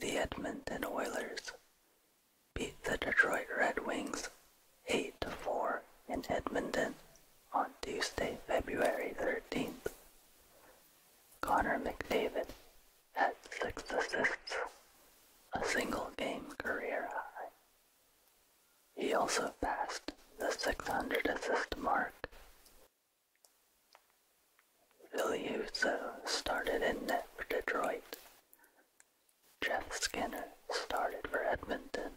The Edmonton Oilers beat the Detroit Red Wings 8-4 in Edmonton on Tuesday, February 13th. Connor McDavid had six assists, a single game career high. He also passed the 600 assist mark Viliuso started in net for Detroit. Jeff Skinner started for Edmonton.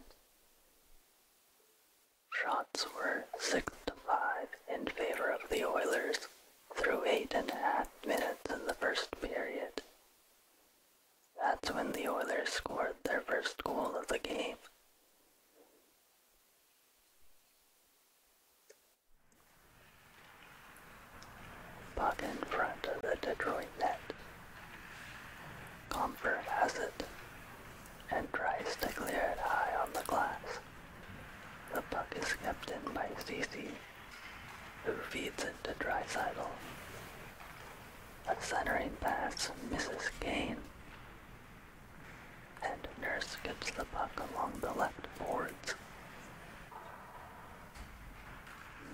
Shots were 6 to 5 in favor of the Oilers through eight and a half minutes in the first period. That's when the Oilers scored their first goal of the game. Puck in front of the Detroit net. Comfort has it and tries to it high on the glass. The puck is kept in by Cece, who feeds it to Drysidle. A centering pass Mrs. Kane, and Nurse gets the puck along the left boards.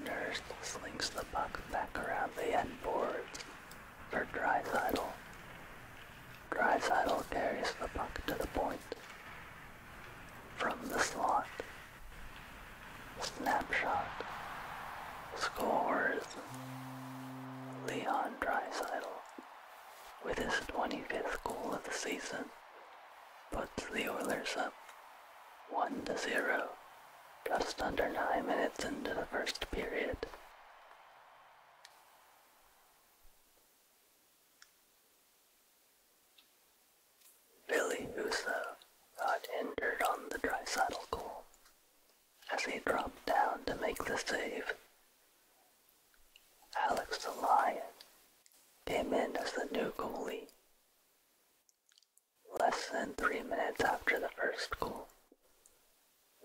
Nurse slings the puck back around the end boards for Drysidle. Drysidle carries the puck to the point. From the slot. Snapshot. Scores. Leon Drysidle with his 25th goal of the season, puts the Oilers up 1-0, just under 9 minutes into the first period. Billy Huso got injured on the dry saddle goal as he dropped down to make the save. Alex the Lion came in as the new goalie. Less than three minutes after the first goal,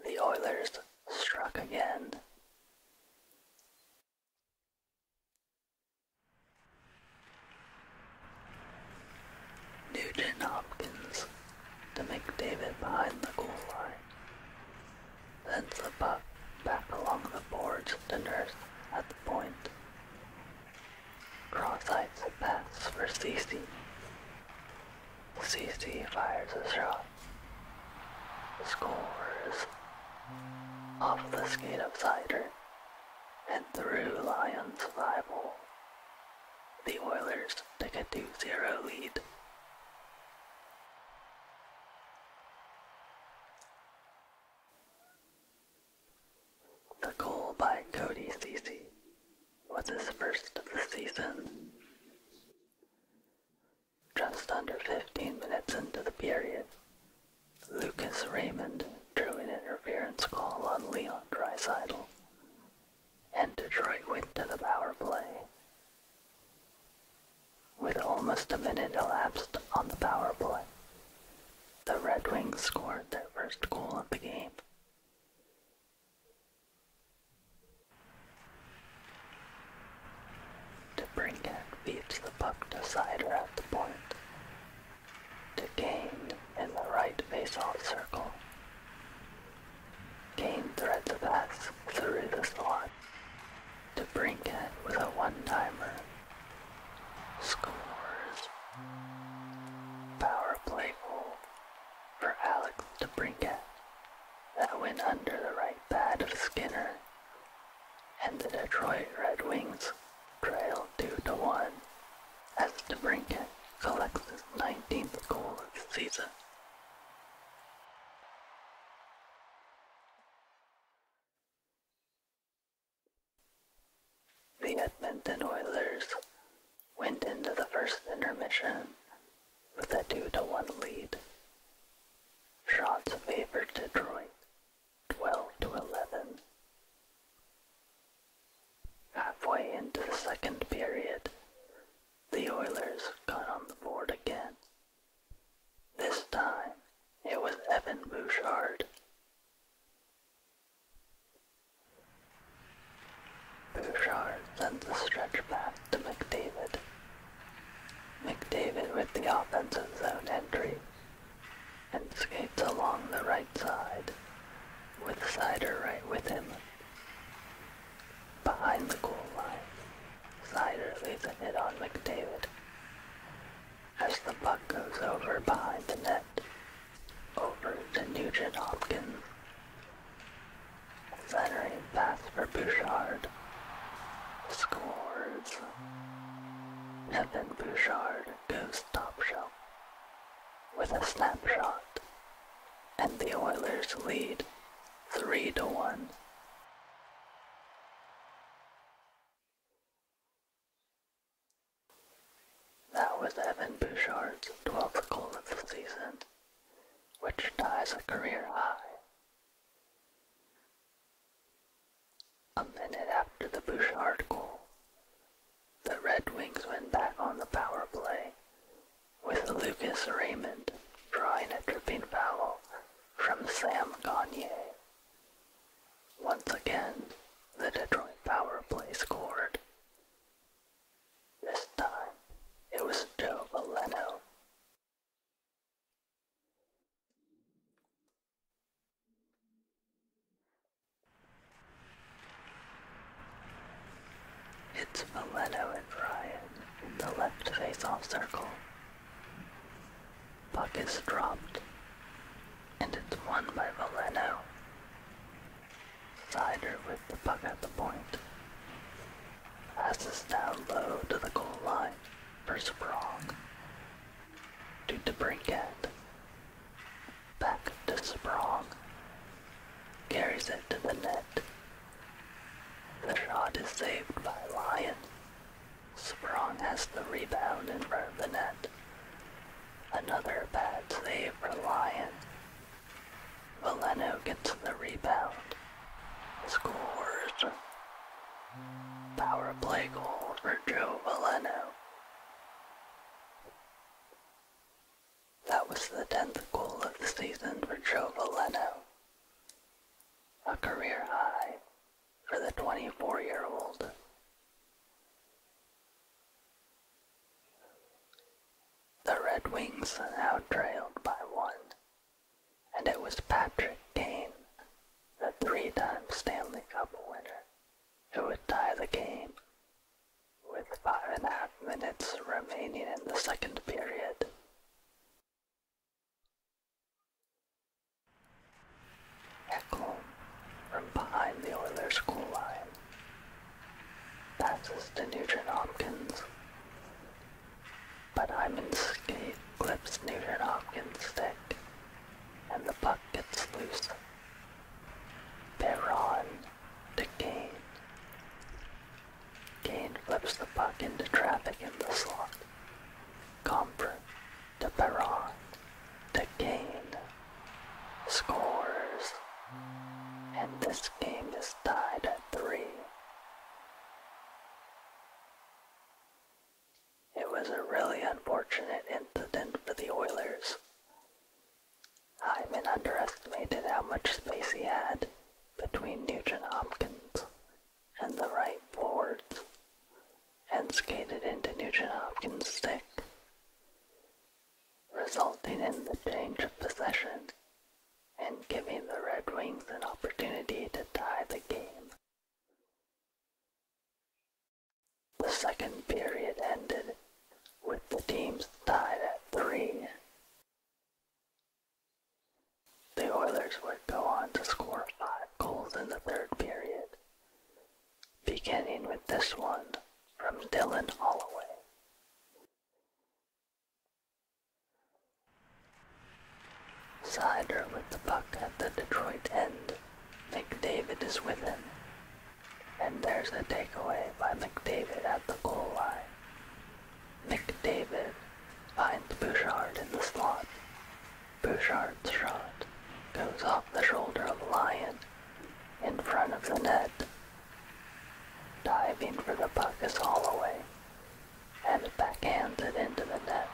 the Oilers struck again. Nugent Hopkins to McDavid behind the goal line then slip up back along the boards to nurse at the point. Cross-sights pass for CC. CC fires a shot. Scores off the skate of Cider and through Lions' five The Oilers take a two-zero lead. The goal by Cody Ceci was his first of the season. Just under 15 minutes into the period, Lucas Raymond drew an interference call on Leon Dreisidel and Detroit went to the power play. With almost a minute elapsed on the power play, the Red Wings scored their first goal of the game. DeBrincat feeds the puck to Sider at the point. DeGane in the right face-off circle came threads of us through the slot to Brinkhead with a one-timer. Scores. Power play goal for Alex to Brinkhead that went under the right pad of Skinner, and the Detroit Red Wings trail 2-1 to one as DeBrincat collects his 19th goal of the season. The Edmonton Oilers went into the first intermission with a 2 to 1 lead. Shots favored Detroit 12 to 11. Halfway into the second period, the Oilers got on the board again. This time, it was Evan Bouchard. Bouchard sent the stretch pass to McDavid. McDavid with the offensive zone entry and skates along the right side with Sider right with him Behind the goal line, Snyder leaves a hit on McDavid. As the puck goes over behind the net, over to Nugent Hopkins. Centering pass for Bouchard. Scores. Evan Bouchard goes top shelf with a snapshot and the Oilers lead 3 to 1. That was Evan Bouchard's 12th goal of the season, which ties a career high. A minute after the Bouchard goal, the Red Wings went back on the power play with Lucas Raymond drawing a tripping foul from Sam Gagne. Once again, the Detroit power play scored. This time, it was Joe Valeno. It's Valeno and Ryan in the left face-off circle. Puck is dropped, and it's won by Valeno. Sider with the puck at the point. Passes down low to the goal line for Sprong. To break it back to Sprong. Carries it to the net. The shot is saved by Lyon. Sprong has the rebound and front the net. Another bad save for Lyon. Valeno gets the rebound. Scores. Power play goal for Joe Valeno. That was the 10th goal of the season for Joe Valeno, a career high for the 24 year old. The Red Wings now trailed by one, and it was Patrick Kane, the three time Stanley Cup winner, who would tie the game with five and a half minutes remaining in the second period. Heckle from behind the Oilers' goal line passes to Nugent Hopkins, but Hyman's skate clips Nugent Hopkins' stick, and the puck gets loose Perron the Kane. Kane flips the puck into traffic in the slot. Comfort the Perron to Kane. Scores. And this game is tied at three. It was a really unfortunate incident for the Oilers. Hyman underestimated how much space he had between Nugent Hopkins and the right forward, and skated into Nugent Hopkins' stick, resulting in the change of possession and giving the Red Wings an opportunity to tie the game. The second period ended with the teams tied at three. The Oilers would go on to score five goals in the third period, beginning with this one from Dylan Holloway. Sider with the puck at the Detroit end McDavid is with him. And there's a takeaway by McDavid at the goal line. McDavid finds Bouchard in the slot. Bouchard's shot goes off the shoulder of Lyon in front of the net. Diving for the puck is Holloway, and backhanded into the net.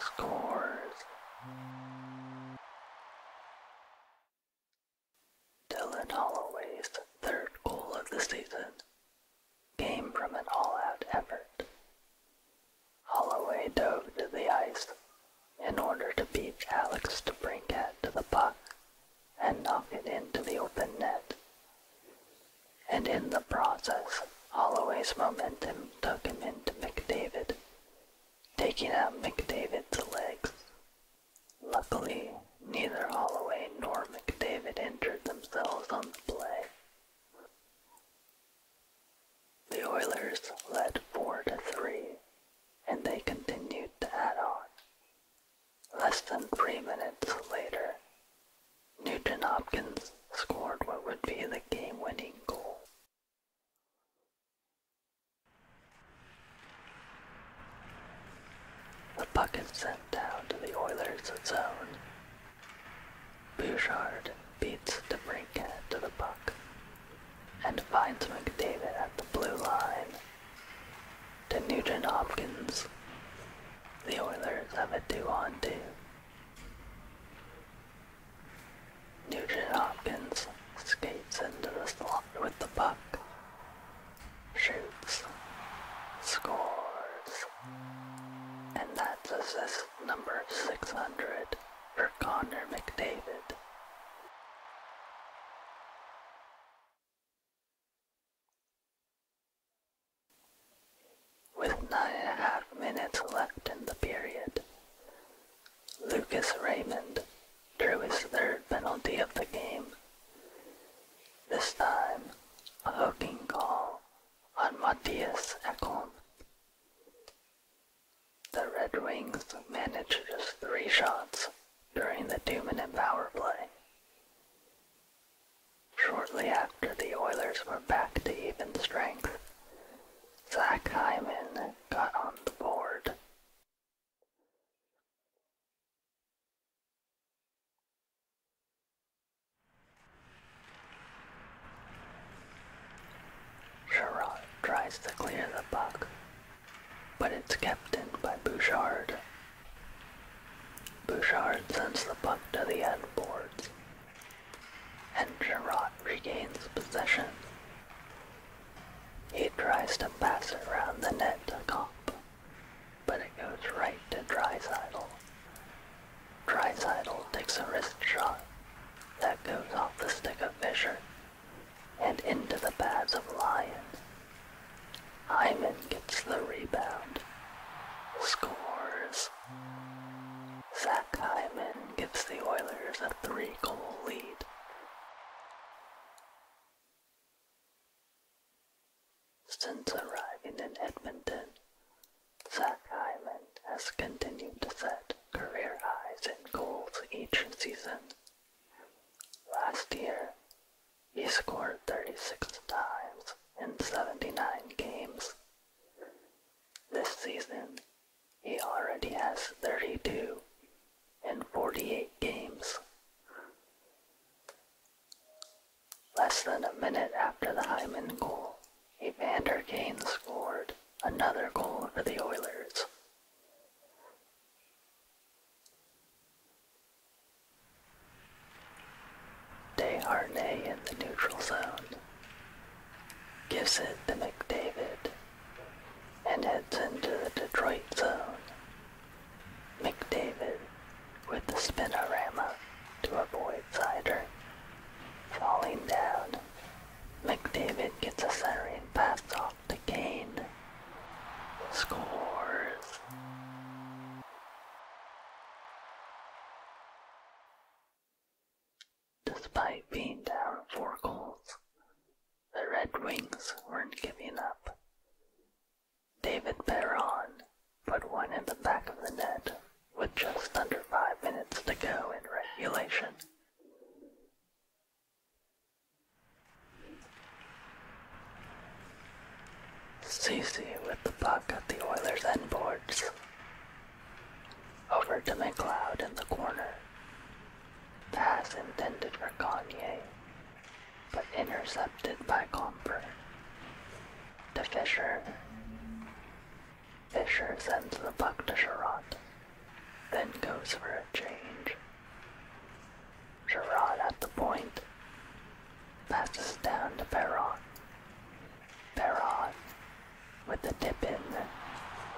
Scores. Dylan Holloway's third goal of the season came from an all-out effort. Holloway dove to the ice in order to beat Alex DeBrincat to the puck and knock it into the open net. And in the process, Holloway's momentum took him into McDavid, taking out McDavid's legs. Luckily, neither Holloway nor McDavid injured themselves on the play. The Oilers led 4 to 3, and they continued to add on. Less than three minutes later, Newton Hopkins scored what would be the game winning goal. The puck is sent down to the Oilers' zone. Bouchard beats DeBrincat to the puck and finds McDavid at the blue line. To Nugent Hopkins. The Oilers have a two-on-two. Nugent Hopkins skates into the slot with the puck, shoots, scores, and that's assist number 600 for Connor McDavid. With nine and a half minutes left in the period, Lucas Raymond drew his third penalty of the game. This time, a hooking call on Matthias Ekholm. The Red Wings managed just three shots during the two-minute power play. Shortly after, the Oilers were back to even strength. Zach Hyman got on the board. Sherrod tries to clear the puck, but it's kept in by Bouchard. Bouchard sends the puck to the end boards, and Gerard regains possession. He tries to pass it around the net to Kopp, but it goes right to Drysidle. Drysidle takes a wrist shot that goes off the stick of Fisher and into the pads of Lyon. Hyman gets the rebound, scores, Zach Hyman gives the Oilers a three-goal lead. Since arriving in Edmonton, Zach Hyman has continued to set career highs in goals each season. Last year, he scored 36 times in 79 games. This season, he already has 32 and 48 games. Less than a minute after the Hyman goal, Evander Kane scored another goal for the Oilers. DeHarnay in the neutral zone. Gives it to McDavid and heads into the Detroit zone. McDavid with the spinorama to avoid Sider. Falling down, McDavid gets a centering pass off to Kane. Scores. Despite being down four goals, the Red Wings weren't giving up. David Perron put one in the back of the net with just under five minutes to go in regulation. Cece with the puck at the Oilers end boards. Over to McLeod in the corner. Pass intended for Gagne, but intercepted by Comper. To Fisher. Fisher sends the puck to Sherratt, then goes for a change. Gerard at the point. Passes down to Perron. Perron, with the dip in,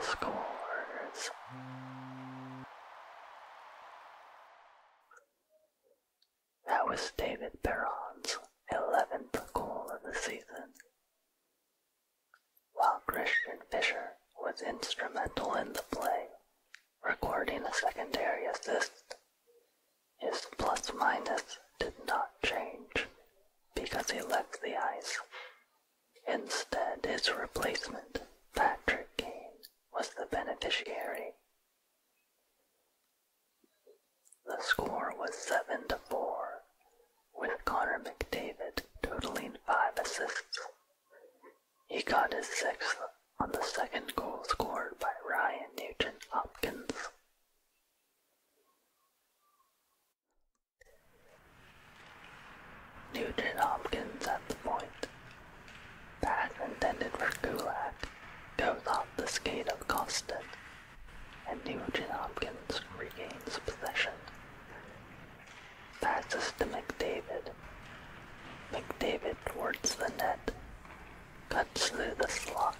scores. That was David Perron's 11th goal of the season. While Christian Fisher was instrumental in the play, recording a secondary assist, his plus minus did not change because he left the ice. Instead, his replacement, Patrick Kane, was the beneficiary. The score was 7 to 4, with Connor McDavid totaling 5 assists. He got his sixth on the second goal scored by Ryan Nugent Hopkins. Nugent Hopkins at the point. Pass intended for Gulak goes off the skate of Costin, and Nugent Hopkins regains possession. Passes to McDavid. McDavid towards the net Cuts through the slot.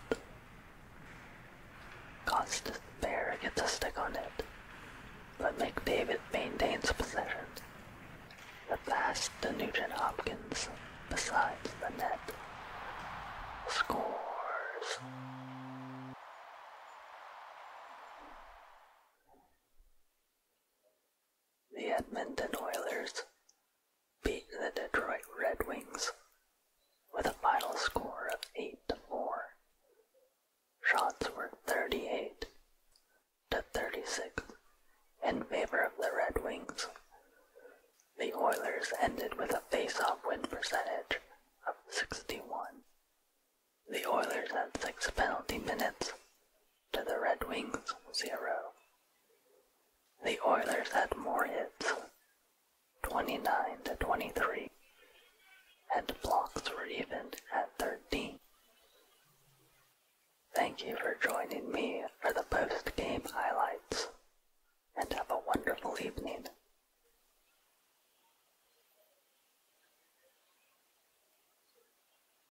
Costas Bear gets a stick on it, but McDavid maintains possession. The pass to Nugent Hopkins besides the net. Scores. The Edmonton Oilers beat the Detroit Red Wings with a final score of 8 to 4. Shots were 38 to 36 in favor of the Red Wings. The Oilers ended with a face-off win percentage of 61. The Oilers had six penalty minutes to the Red Wings, 0. The Oilers had more hits, 29 to 23, and blocks were even at 13. Thank you for joining me for the post-game highlights, and have a wonderful evening.